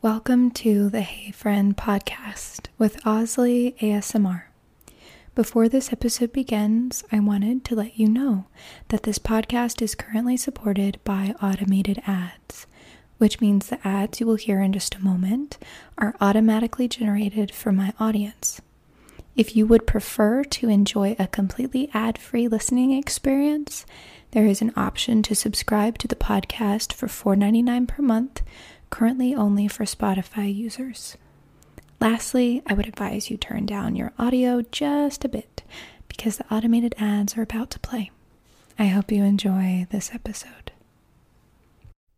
Welcome to the Hey Friend podcast with Osley ASMR. Before this episode begins, I wanted to let you know that this podcast is currently supported by automated ads, which means the ads you will hear in just a moment are automatically generated for my audience. If you would prefer to enjoy a completely ad free listening experience, there is an option to subscribe to the podcast for $4.99 per month, currently only for Spotify users. Lastly, I would advise you turn down your audio just a bit because the automated ads are about to play. I hope you enjoy this episode.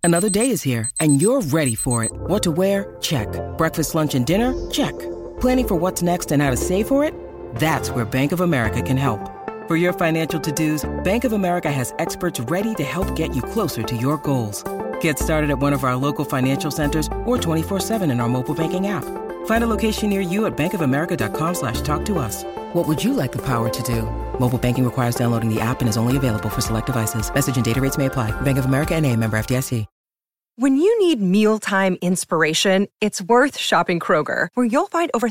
Another day is here and you're ready for it. What to wear? Check. Breakfast, lunch, and dinner? Check. Planning for what's next and how to save for it? That's where Bank of America can help. For your financial to-dos, Bank of America has experts ready to help get you closer to your goals. Get started at one of our local financial centers or 24-7 in our mobile banking app. Find a location near you at bankofamerica.com slash talk What would you like the power to do? Mobile banking requires downloading the app and is only available for select devices. Message and data rates may apply. Bank of America and a member FDIC. When you need mealtime inspiration, it's worth shopping Kroger, where you'll find over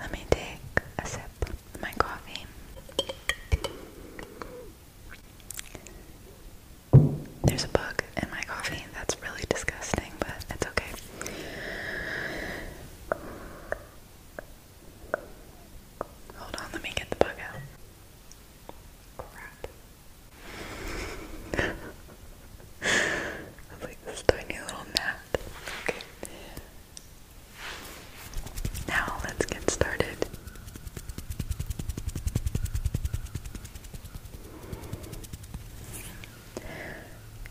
Let me take a sip of my coffee. There's a bug in my coffee. That's really disgusting, but it's okay. Hold on, let me get the bug out. Crap. I like, this tiny little gnat. Okay. Now let's get started.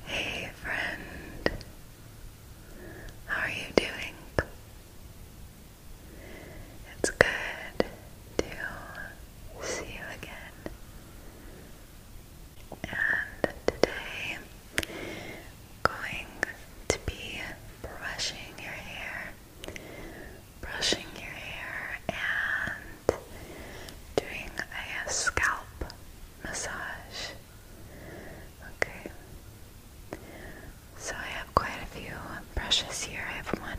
Hey friend, how are you doing? It's good to see you again. And today going to be brushing your hair, brushing your hair, and doing a scalp massage. Okay. So I have quite a few brushes here. I have one,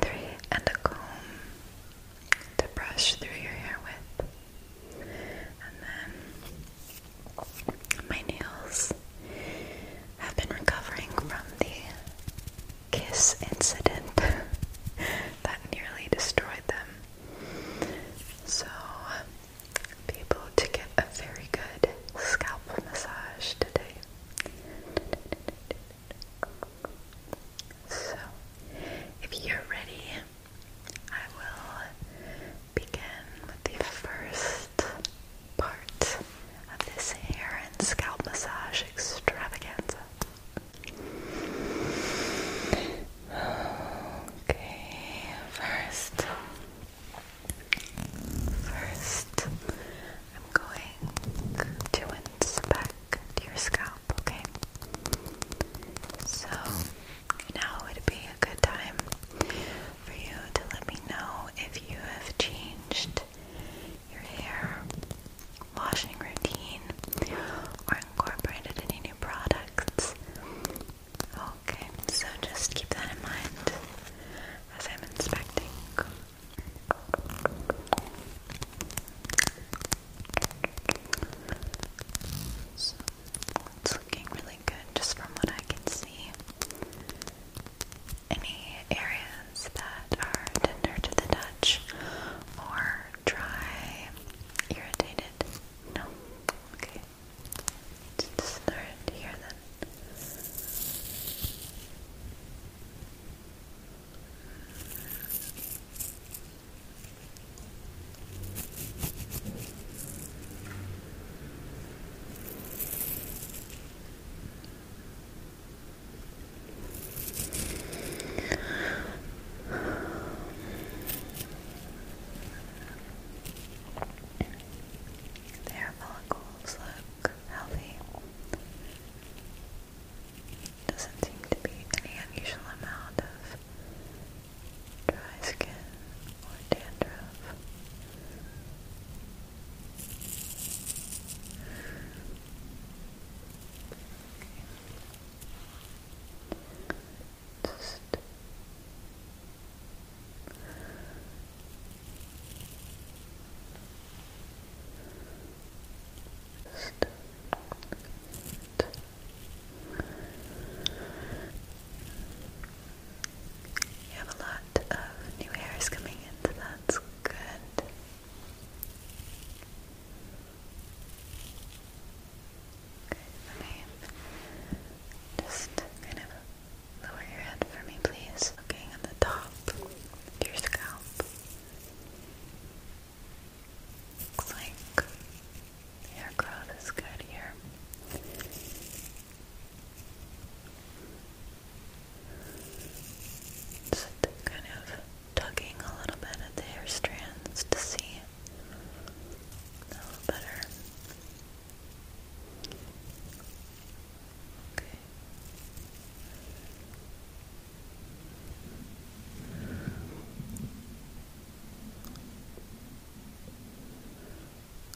three, and a comb to brush through your hair with. And then my nails have been recovering from the kiss incident that nearly destroyed them. So, people to get a very good scalp massage today. So, if you're ready, I will begin with the first part of this hair and scalp massage extravaganza. Okay, first, first, I'm going to inspect your scalp, okay? So, now would be a good time for you to let me know if you have changed your hair washing routine or incorporated any new products. Okay, so just keep that in mind as I'm inspecting. So it's looking really good just from what I can see. Any areas that are tender to the touch or dry, irritated? No? Okay. Let's start here then. Their follicles look healthy. Doesn't seem to be any unusual amount of dry skin, or dandruff. Just just you have a lot of new hairs coming in, that's good. let me just kind of lower your head for me, please. Looking at the top of your scalp. Looks the Hair growth is good here. Just kind of tugging a little bit at the hair strands to see a little better. Okay.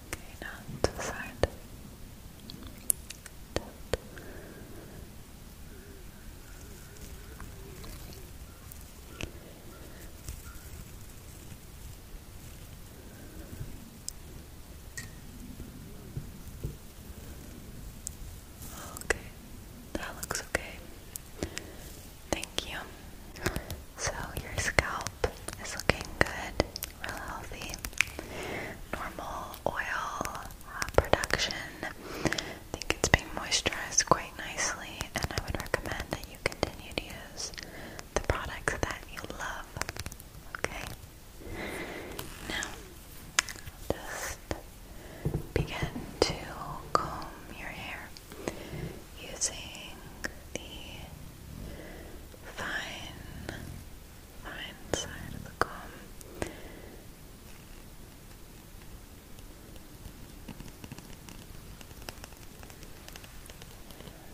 Okay, now to Okay, that looks okay. Thank you. So your scalp is looking good, real healthy. Normal oil uh, production. I think it's being moisturized quite nicely, and I would recommend that you continue to use the products that you love. Okay? Now, just begin to comb your hair using the fine, fine side of the comb.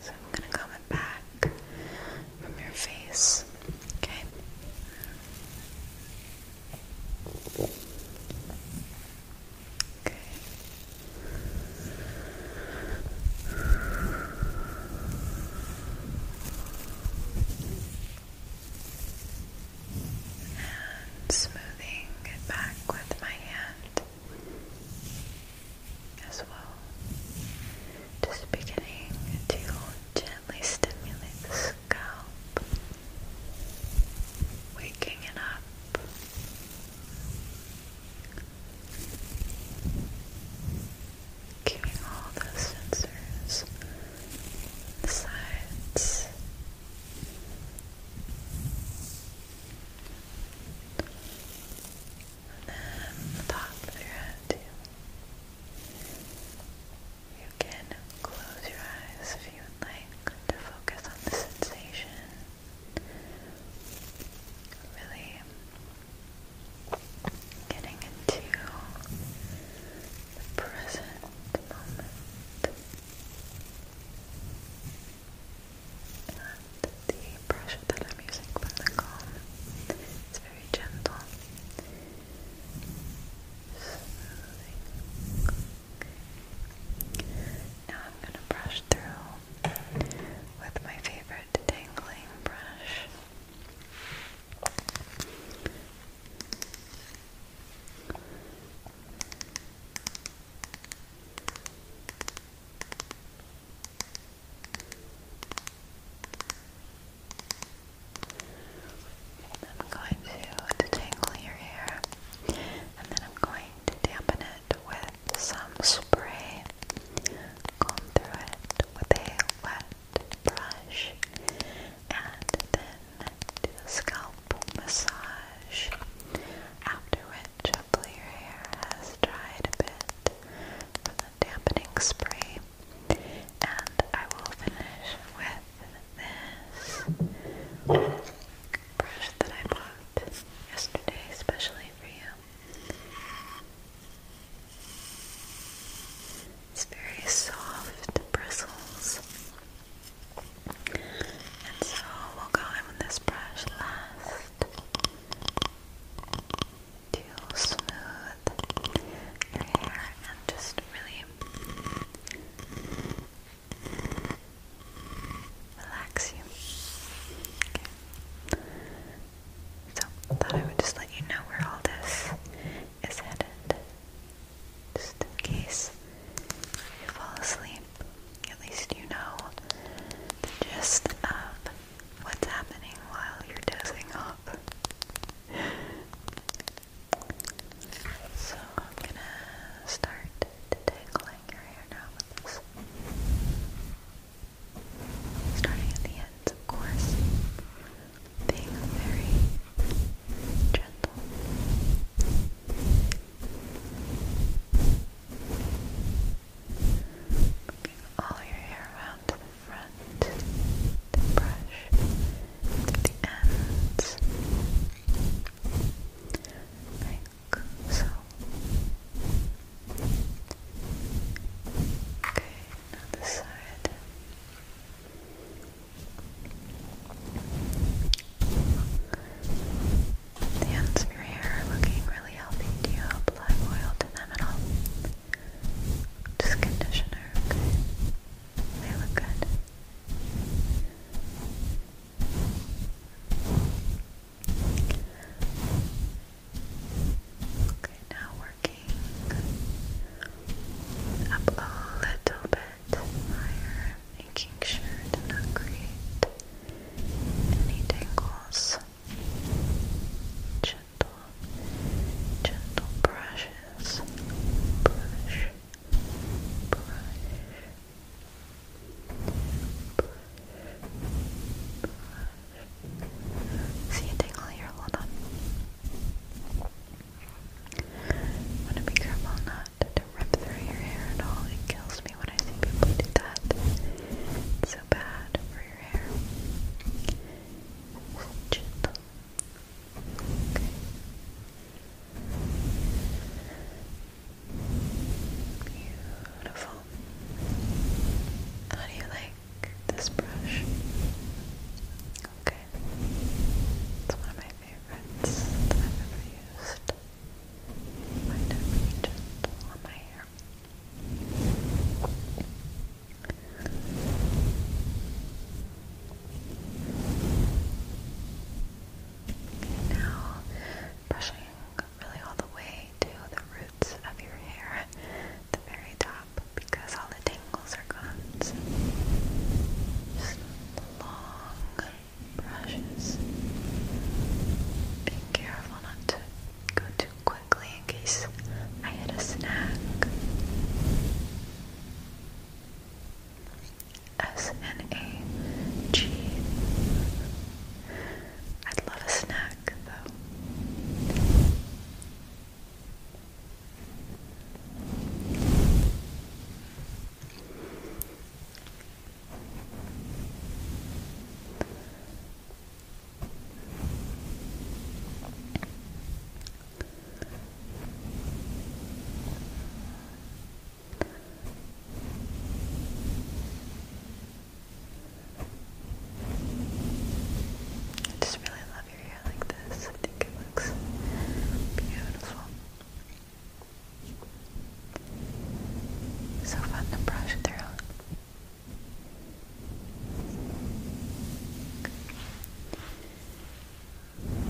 So I'm going to comb it back from your face, okay? And smoothing it back with my hand as well. Just beginning to gently stimulate the scalp, waking it up. Keeping all those sensors the sides. And then the top of your head too. You can close your eyes if you would like to focus on the sensation Really getting into the present moment and the brush that I'm using from the comb is very gentle Smoothing. Now I'm going to brush through with my favorite tangling brush. I'm going to detangle your hair and then I'm going to dampen it with some spray. Comb through it with a wet brush and then do a scalp massage. After which, hopefully, your hair has dried a bit from the dampening spray. And I will finish with this brush that I bought yesterday, especially for you. It's very soft bristles. And so we'll go in with this brush last to smooth your hair and just really relax you. Okay. So I thought I would just let you know where all this is headed. Just in case you fall asleep, at least you know the gist of what's happening while you're dosing up. So I'm gonna start detangling your hair now starting at the ends, of course, being very gentle. Moving all your hair around to the front, brush the ends. Very like so. Okay, another side. The ends of your hair are looking really healthy. Do you apply oil to them at all? Just conditioner, okay? They look good. Okay, now working up a little bit higher, making sure to not create any tangles. Gentle, gentle brushes. Brush, brush, brush. See a tingle here, hold on. I want to be careful not to rip through your hair at all. It kills me when I see people do that. so bad for your hair. It's Beautiful. How do you like this brush? Okay. It's one of my favorites I've ever used. Might not be gentle on my hair. Okay, now brushing look really all the way to the roots of your hair at the very top because all the tangles are gone. So just long brushes. Be careful not to go too quickly in case I hit a snag. S N A G. I'd love a snack back though. I just really love your hair like this. I think it looks beautiful. So fun to brush through. Brush, brush,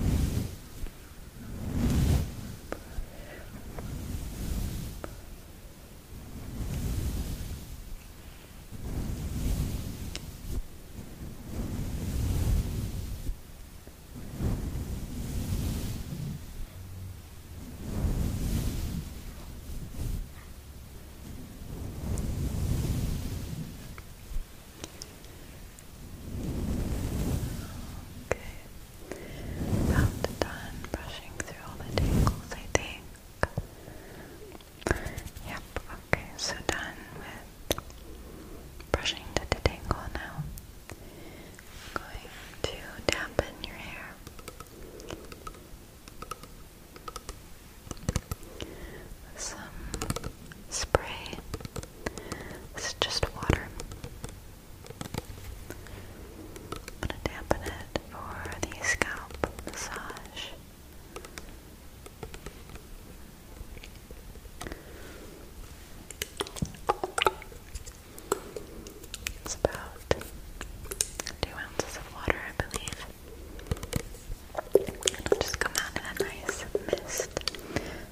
Okay, about done brushing through all the tangles, I think. Yep, okay, so done with brushing the detangle now. going to dampen your hair. some spray. This is just water. I'm gonna dampen it for the scalp massage. It's about two ounces of water, I believe. It'll just come out in a nice mist,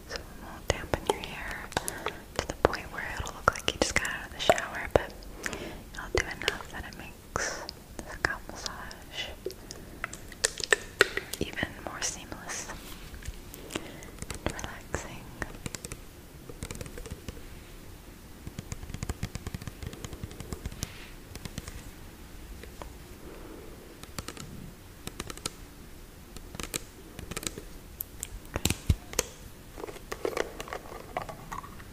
so it will dampen your hair to the point where it'll look like you just got out of the shower, but it'll do enough that it relax scalp massage even more seamless and relaxing.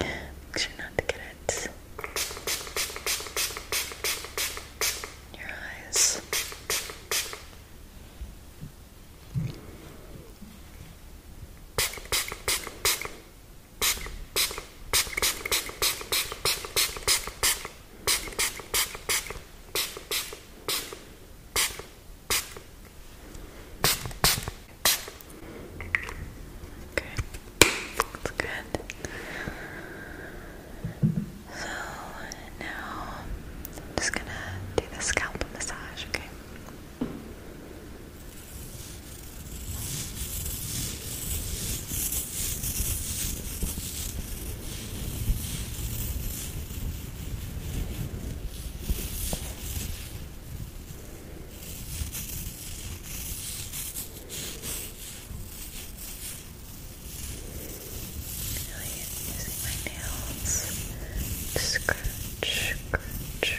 Make sure not to get it in your eyes. Okay, that's good. So now I'm just gonna do the scalp massage, Okay. Really using my nails to scratch, scratch, scratch.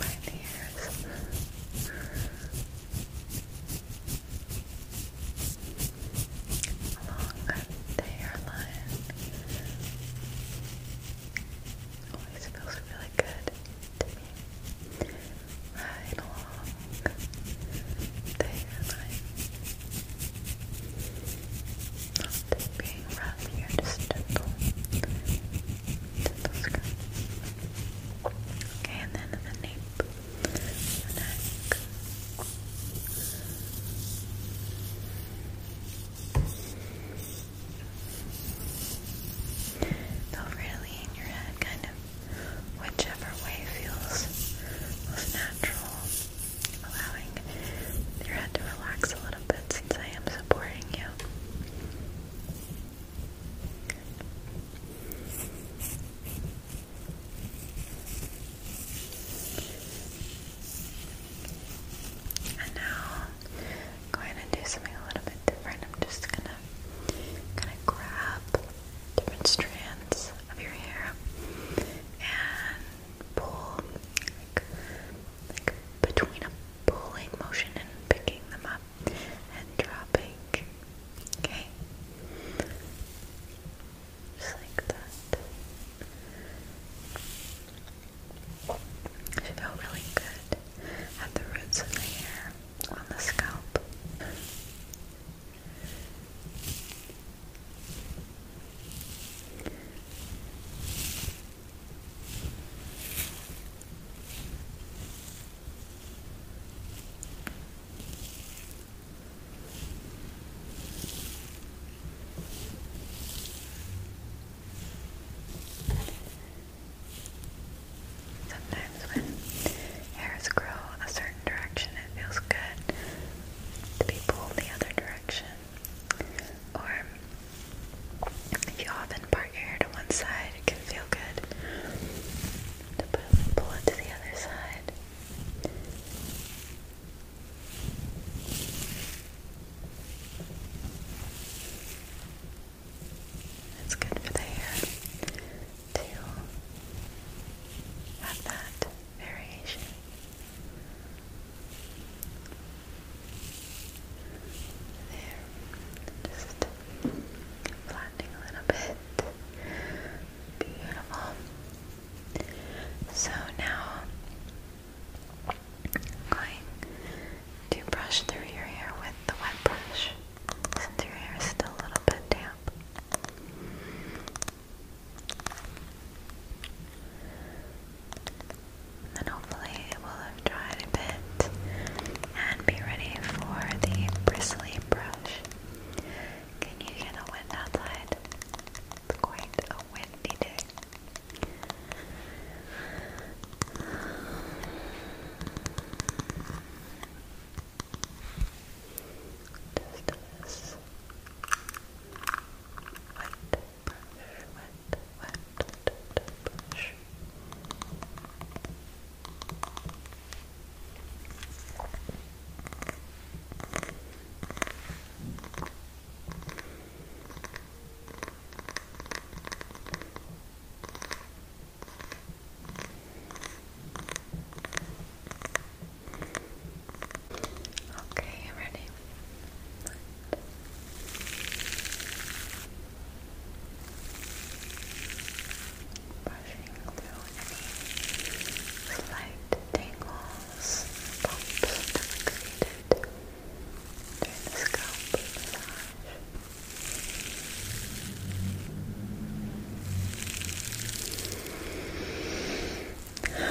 My ears. Along the hairline. Always feels really good to me. Right along the hairline. Okay, and then the nape, the neck. They'll really in your head, kind of whichever way feels natural allowing your head to relax a little bit since I am supporting you. And now going to do something a little bit different. I'm just gonna kind of grab different strands of your hair and pull like, between a pulling motion and picking them up and dropping. Okay? Just like that. She felt really good at the roots of the hair on the scalp. Sometimes when hairs grow a certain direction, it feels good to be pulled the other direction. Or if you often part your hair to one side, it can feel good to pull it to the other side. It's good for the hair to have that variation. There, just flattening a little bit. Beautiful. So now going to brush through your hair with the wet brush since your hair is still a little bit damp then hopefully it will have dried a bit and be ready for the bristly brush. Can you hear the wind outside? It's quite a windy day. Just this wet brush, wet, wet, wet, wet brush. Just Okay, you ready? Brushing through slight tingles, bumps that were created during the scalp massage. If your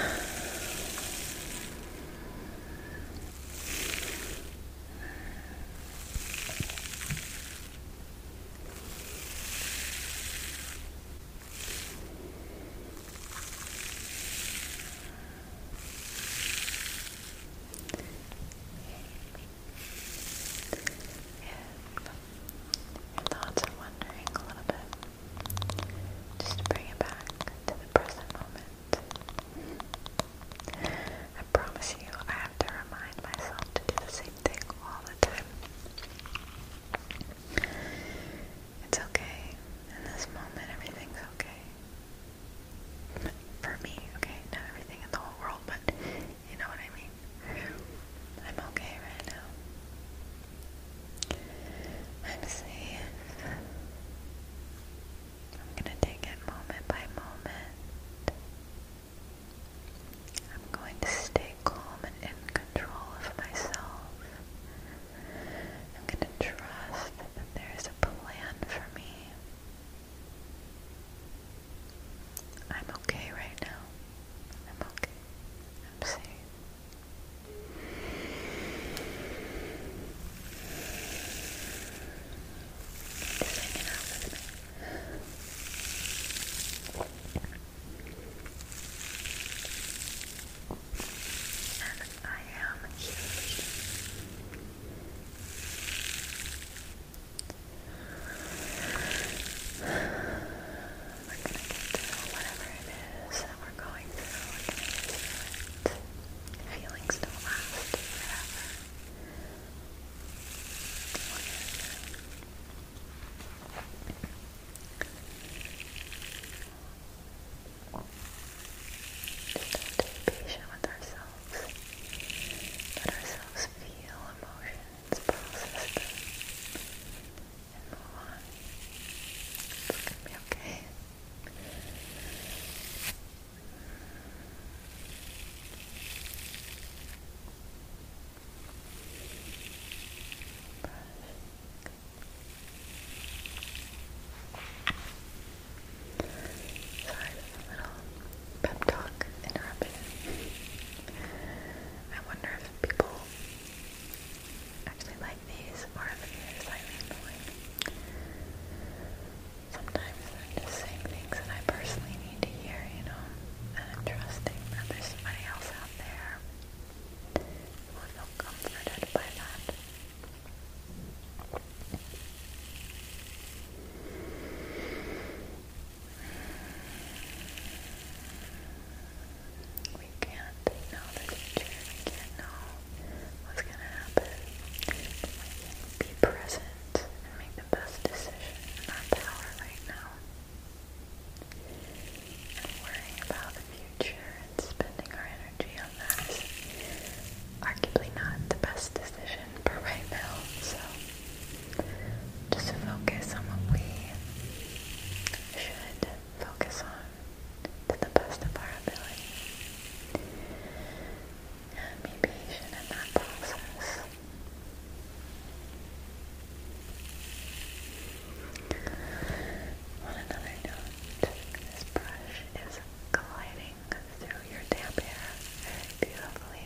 thoughts are wandering a little bit, just bring it back to the present moment. I promise you, I have to remind myself to do the same thing all the time. It's okay. In this moment, everything's okay. For me, okay? Not everything in the whole world, but you know what I mean? I'm okay right now. I'm safe. I'm going to take it moment by moment. I'm going to stay calm and in control of myself. I'm going to trust that there is a plan for me. I'm okay right now. I'm okay. I'm safe. Just hanging out with me. And I am huge we're gonna get whatever it is that we're going through. Feelings don't last forever. Just be patient with ourselves. Let ourselves feel emotions, process them and move It's gonna be okay. Sorry for the little pep talk interruption. I wonder if people actually like these more of the slightly annoying. Sometimes I'm just saying things that I personally need to hear, you know, and I'm trusting that there's somebody else out there who will feel comforted by that. Just we can't know the future. We can't know what's gonna happen. But we can be present and make the best decision in our power right now. worrying about the future and spending our energy on that is arguably not the best decision for right now. So just focus on what we should focus on to the best of our ability. And be in that process. On another note, this brush is gliding through your damp hair beautifully.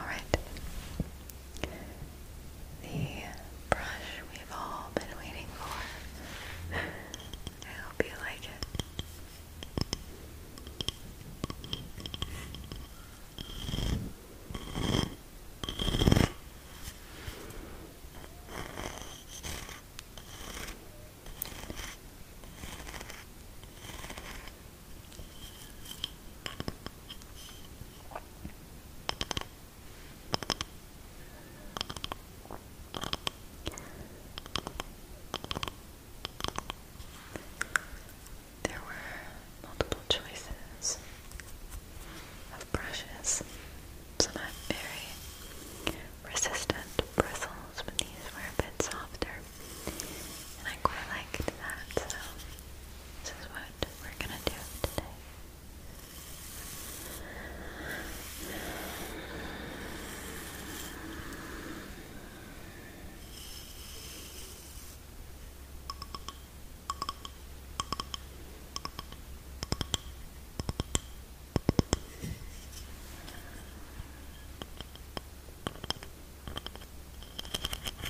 Alright. The brush we've all been waiting for. I hope you like it. There were multiple choices of brushes. Some have very resistant bristles, but these were a bit softer and I quite liked that, so this is what we're gonna do today.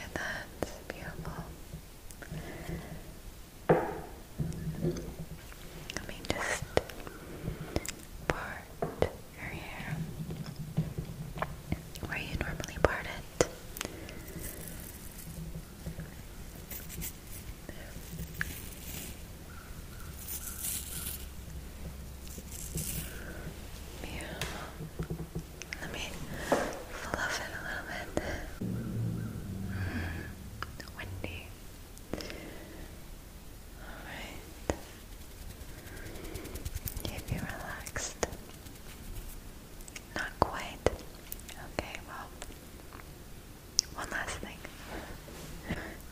Right, that's beautiful. Let me just part your hair where you normally part it. Yeah. Let me fluff it a little bit. Mm-hmm. windy. Alright. Keep you relaxed. Not quite. Okay, well, one last thing.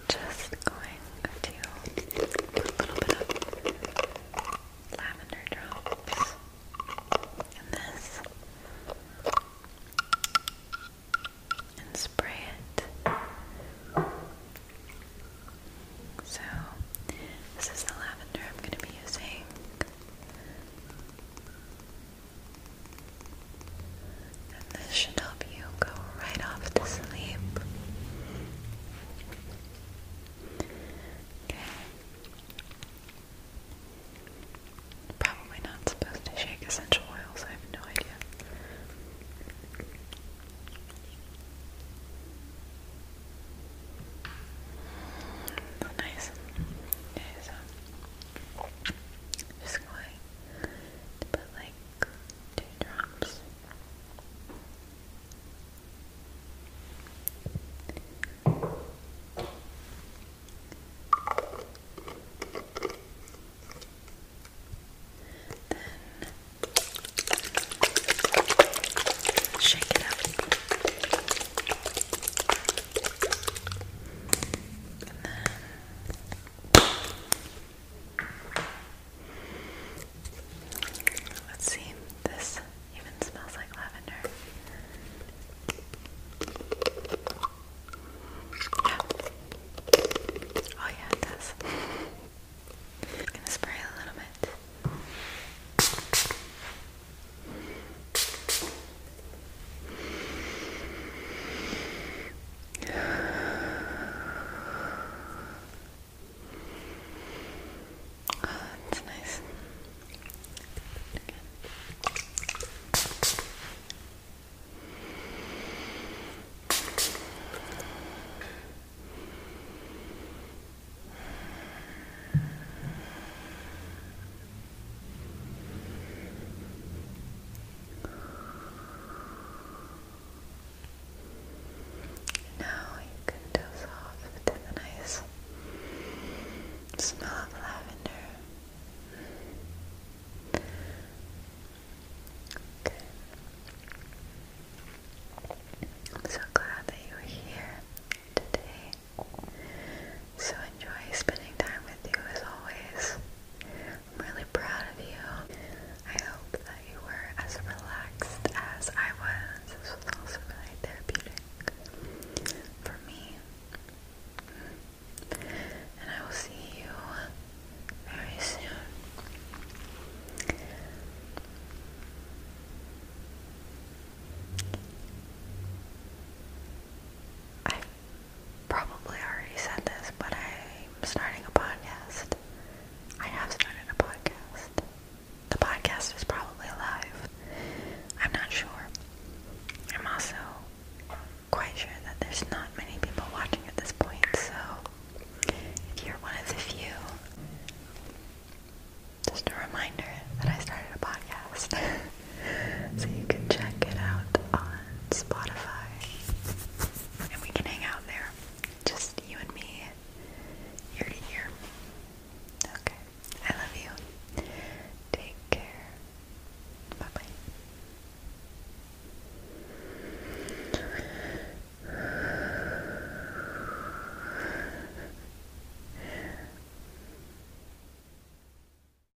Just going a little bit of lavender drops in this and spray it. So, this is the lavender I'm going to be using this should help you go right off to sleep. Okay. Probably not supposed to shake essential oils, I have no idea. Nice. Nice. Uh, just going to put like two drops. Then shake it up let's see, this even smells like lavender. Oh yeah, it does. I'm gonna spray a little bit. Oh, that's nice. Good. Now you can doze off to the nice smell of lavender. I'm so glad that you were here today. So enjoy spending time with you as always. I'm really proud of you. I hope that you were as relaxed as I was. This was also really therapeutic for me. And I will see you very soon. I probably already said this, but I'm starting a podcast. I have started a podcast. The podcast is probably alive. I'm not sure. I'm also quite sure that there's not many people watching at this point, so if you're one of the few, just a reminder that I started a podcast. So you can check it out on Spotify. And we can hang out there. Just you and me, ear to ear. Okay. I love you. Take care. Bye bye.